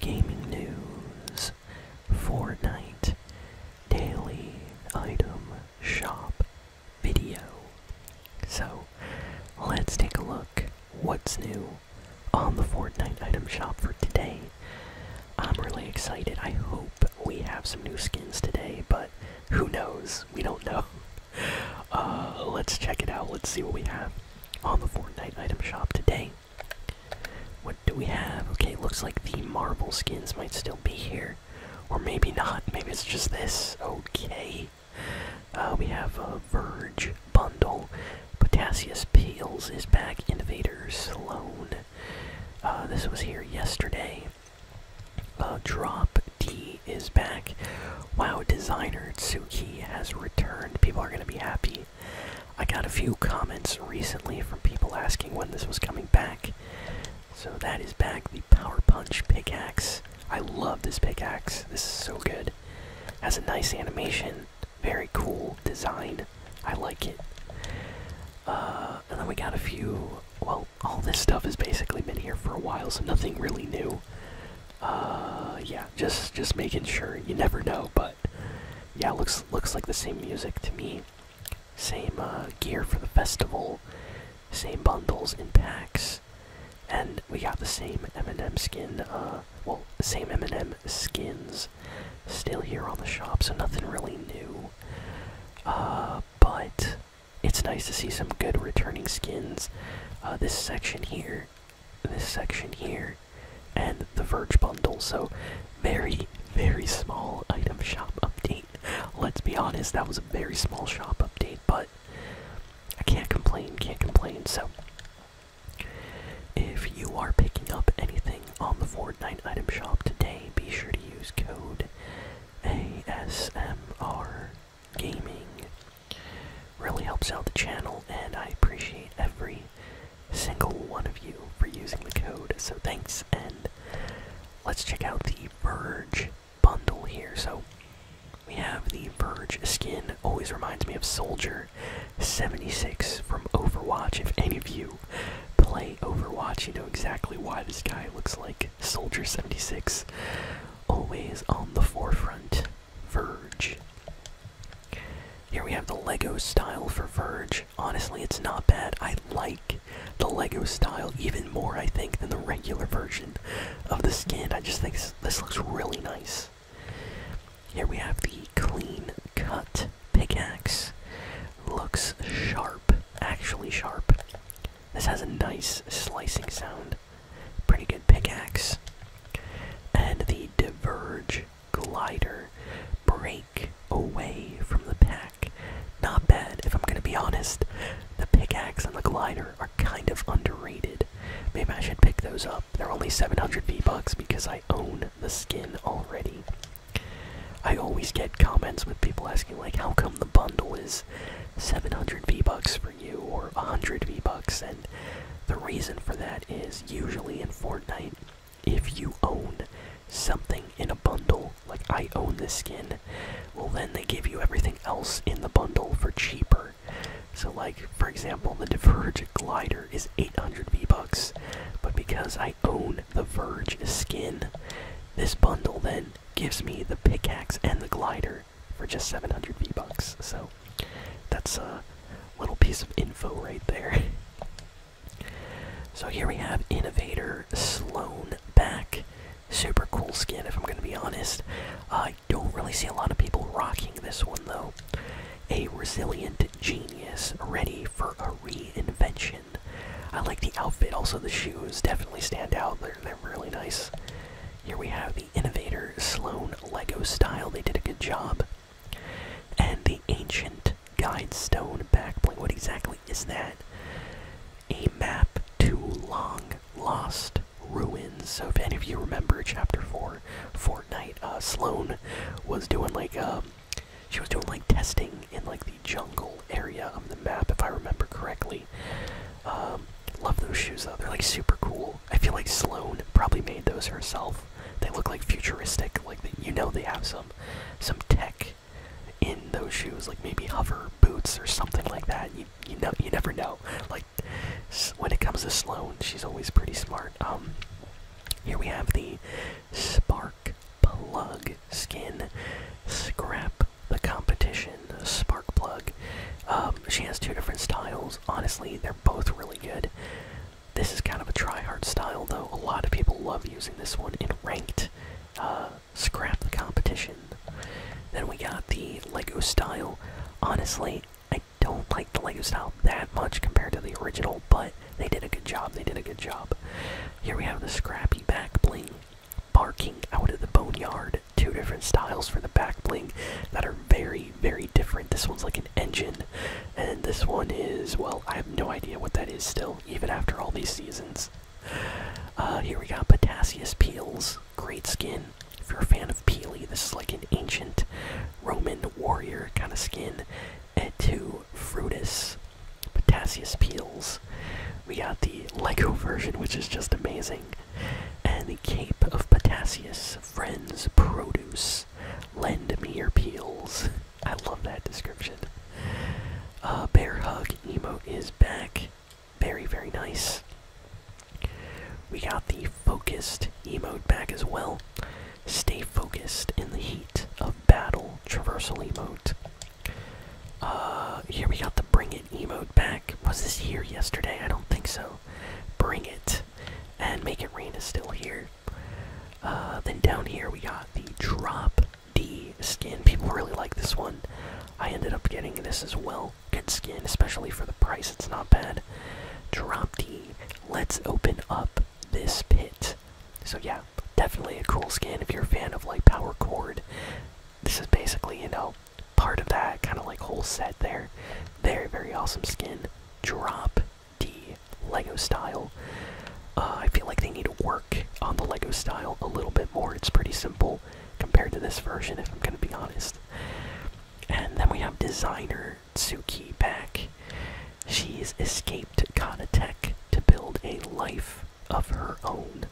gaming news, Fortnite, daily item shop video. So, let's take a look what's new on the Fortnite item shop for today. I'm really excited. I hope we have some new skins today, but who knows? We don't know. Uh, let's check it out. Let's see what we have on the Fortnite item shop today. What do we have? Okay, looks like the marble skins might still be here. Or maybe not. Maybe it's just this. Okay. Uh, we have a Verge bundle. Potassius Peels is back. Innovators Sloan. Uh, this was here yesterday. Uh, Drop D is back. Wow, Designer Tsuki has returned. People are going to be happy. I got a few comments recently from people asking when this was coming back. So that is back, the Power Punch pickaxe. I love this pickaxe. This is so good. Has a nice animation, very cool design. I like it. Uh, and then we got a few. Well, all this stuff has basically been here for a while, so nothing really new. Uh, yeah, just just making sure. You never know, but yeah, looks looks like the same music to me. Same uh, gear for the festival, same bundles in packs, and we got the same M&M skin. Uh, well, same M&M skins still here on the shop, so nothing really new. Uh, but it's nice to see some good returning skins. this section here this section here and the Verge bundle. So, very, very small item shop update. Let's be honest, that was a very small shop update, but I can't complain, can't complain. So, if you are picking up anything on the Fortnite item shop today, be sure to use code ASMR Gaming Really helps out the channel, and I appreciate every single one of you for using the code. So thanks, and let's check out the Verge bundle here. So we have the Verge skin, always reminds me of Soldier 76 from Overwatch. If any of you play Overwatch, you know exactly why this guy looks like Soldier 76. Always on the forefront Verge. Here we have the Lego style for Verge. Honestly, it's not bad. I like the Lego style even more, I think, than the regular version of the skin. I just think this looks really nice. Here we have the clean cut pickaxe. Looks sharp, actually sharp. This has a nice slicing sound. Pretty good pickaxe. And the Diverge Glider. Break away from the pack. Not bad, if I'm gonna be honest. The pickaxe and the glider are kind of underrated. Maybe I should pick those up. They're only 700 V-Bucks because I own the skin already. I always get comments with people asking, like, how come the bundle is 700 V-Bucks you or 100 V-Bucks, and the reason for that is usually in Fortnite, if you own something in a bundle, like I own this skin, well then they give you everything else in the bundle for cheaper. So like, for example, the Diverge Glider is 800 V-Bucks, but because I own the Verge skin, this bundle then gives me the pickaxe and the glider for just 700 V-Bucks. So that's a little piece of info right there. so here we have Innovator Sloan back. Super cool skin, if I'm going to be honest. I don't really see a lot of people rocking this one, though. A resilient genius ready for a reinvention. I like the outfit, also the shoes definitely stand out. They're, they're really nice. Here we have the Innovator Sloan Lego style. They did a good job. And the Ancient Guide Stone backplate. What exactly is that? A map to long lost ruins. So if any of you remember Chapter 4, Fortnite, uh, Sloan was doing like um, she was doing like testing in like the jungle area of the map, if I remember correctly. Um, love those shoes though; they're like super cool. I feel like Sloane probably made those herself. They look like futuristic, like you know they have some some tech in those shoes, like maybe hover boots or something like that. You you know you never know. Like when it comes to Sloane, she's always pretty smart. Um, here we have the Spark Plug skin. Scrap the competition, spark plug. Um, she has two different styles. Honestly, they're both really good. This is kind of a try-hard style, though. A lot of people love using this one in ranked. Uh, scrap the competition. Then we got the Lego style. Honestly, I don't like the Lego style that much compared to the original, but they did a good job. They did a good job. Here we have the scrappy back bling barking out of the boneyard. Two different styles for the back bling that are very, very different. This one's like an engine, and this one is, well, I have no idea what that is still, even after all these seasons. Uh, here we got Potassius Peels, great skin. If you're a fan of Peely, this is like an ancient Roman warrior kind of skin. And to Frutus, Potassius Peels, we got the Lego version, which is just amazing. And the Cape of Potassius, Friends, Produce, Lend Me Your Peels. I love that description. Uh, Bear Hug emote is back. Very, very nice. We got the Focused emote back as well. Stay focused in the heat of battle, traversal emote. Uh, here we got the Bring It emote back. Was this here yesterday? I don't think so. Bring It. And Make It Rain is still here. Uh, then down here we got the Drop D skin. People really like this one. I ended up getting this as well. Good skin, especially for the price. It's not bad. Drop D. Let's open up this pit. So yeah, definitely a cool skin if you're a fan of like power cord this is basically, you know, part of that kind of like whole set there. Very, very awesome skin. Drop D Lego style. Uh, I feel like they need to work on the Lego style a little bit more. It's pretty simple compared to this version, if I'm going to be honest. And then we have designer Tsuki back. She's escaped Kanatech to build a life of her own.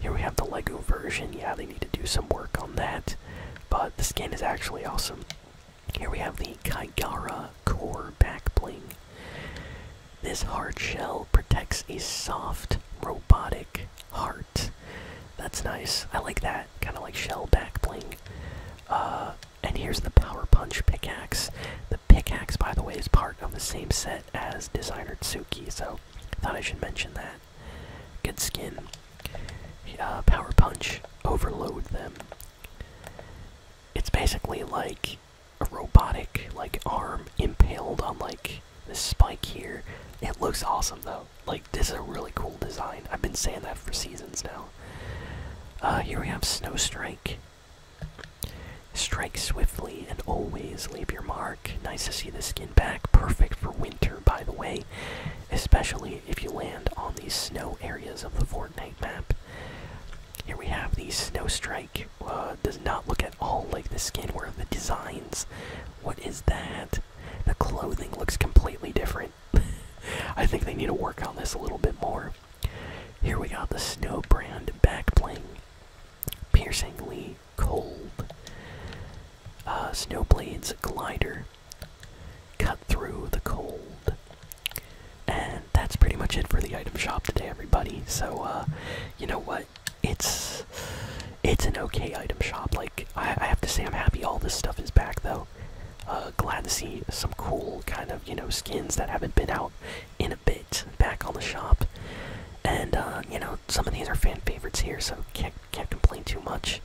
Here we have the Lego version. Yeah, they need to do some work on that, but the skin is actually awesome. Here we have the Kaigara Core Back Bling. This hard shell protects a soft, robotic heart. That's nice. I like that. Kind of like shell back bling. Uh, and here's the Power Punch pickaxe. The pickaxe, by the way, is part of the same set as Designer Suki, so I thought I should mention that. Good skin. Uh, power Punch, overload them. It's basically like a robotic like arm impaled on like this spike here. It looks awesome though. Like this is a really cool design. I've been saying that for seasons now. Uh, here we have Snow Strike. Strike swiftly and always leave your mark. Nice to see the skin back. Perfect for winter, by the way, especially if you land on these snow areas of the Fortnite map. Here we have the Snow Strike. Uh, does not look at all like the skin. Where are the designs? What is that? The clothing looks completely different. I think they need to work on this a little bit more. Here we got the Snow Brand back bling. Piercingly cold. Uh, Snowblade's glider. Cut through the cold. And that's pretty much it for the item shop today, everybody. So, uh, you know what? It's it's an okay item shop. Like I, have to say, I'm happy all this stuff is back, though. Uh, glad to see some cool kind of you know skins that haven't been out in a bit back on the shop. And uh, you know, some of these are fan favorites here, so can't can't complain too much.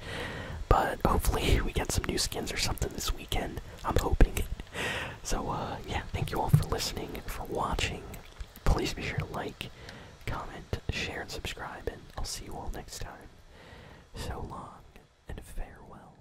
But hopefully we get some new skins or something this weekend. I'm hoping. So uh, yeah, thank you all for listening and for watching. Please be sure to like, comment, share, and subscribe, and I'll see you all next time. So long and farewell.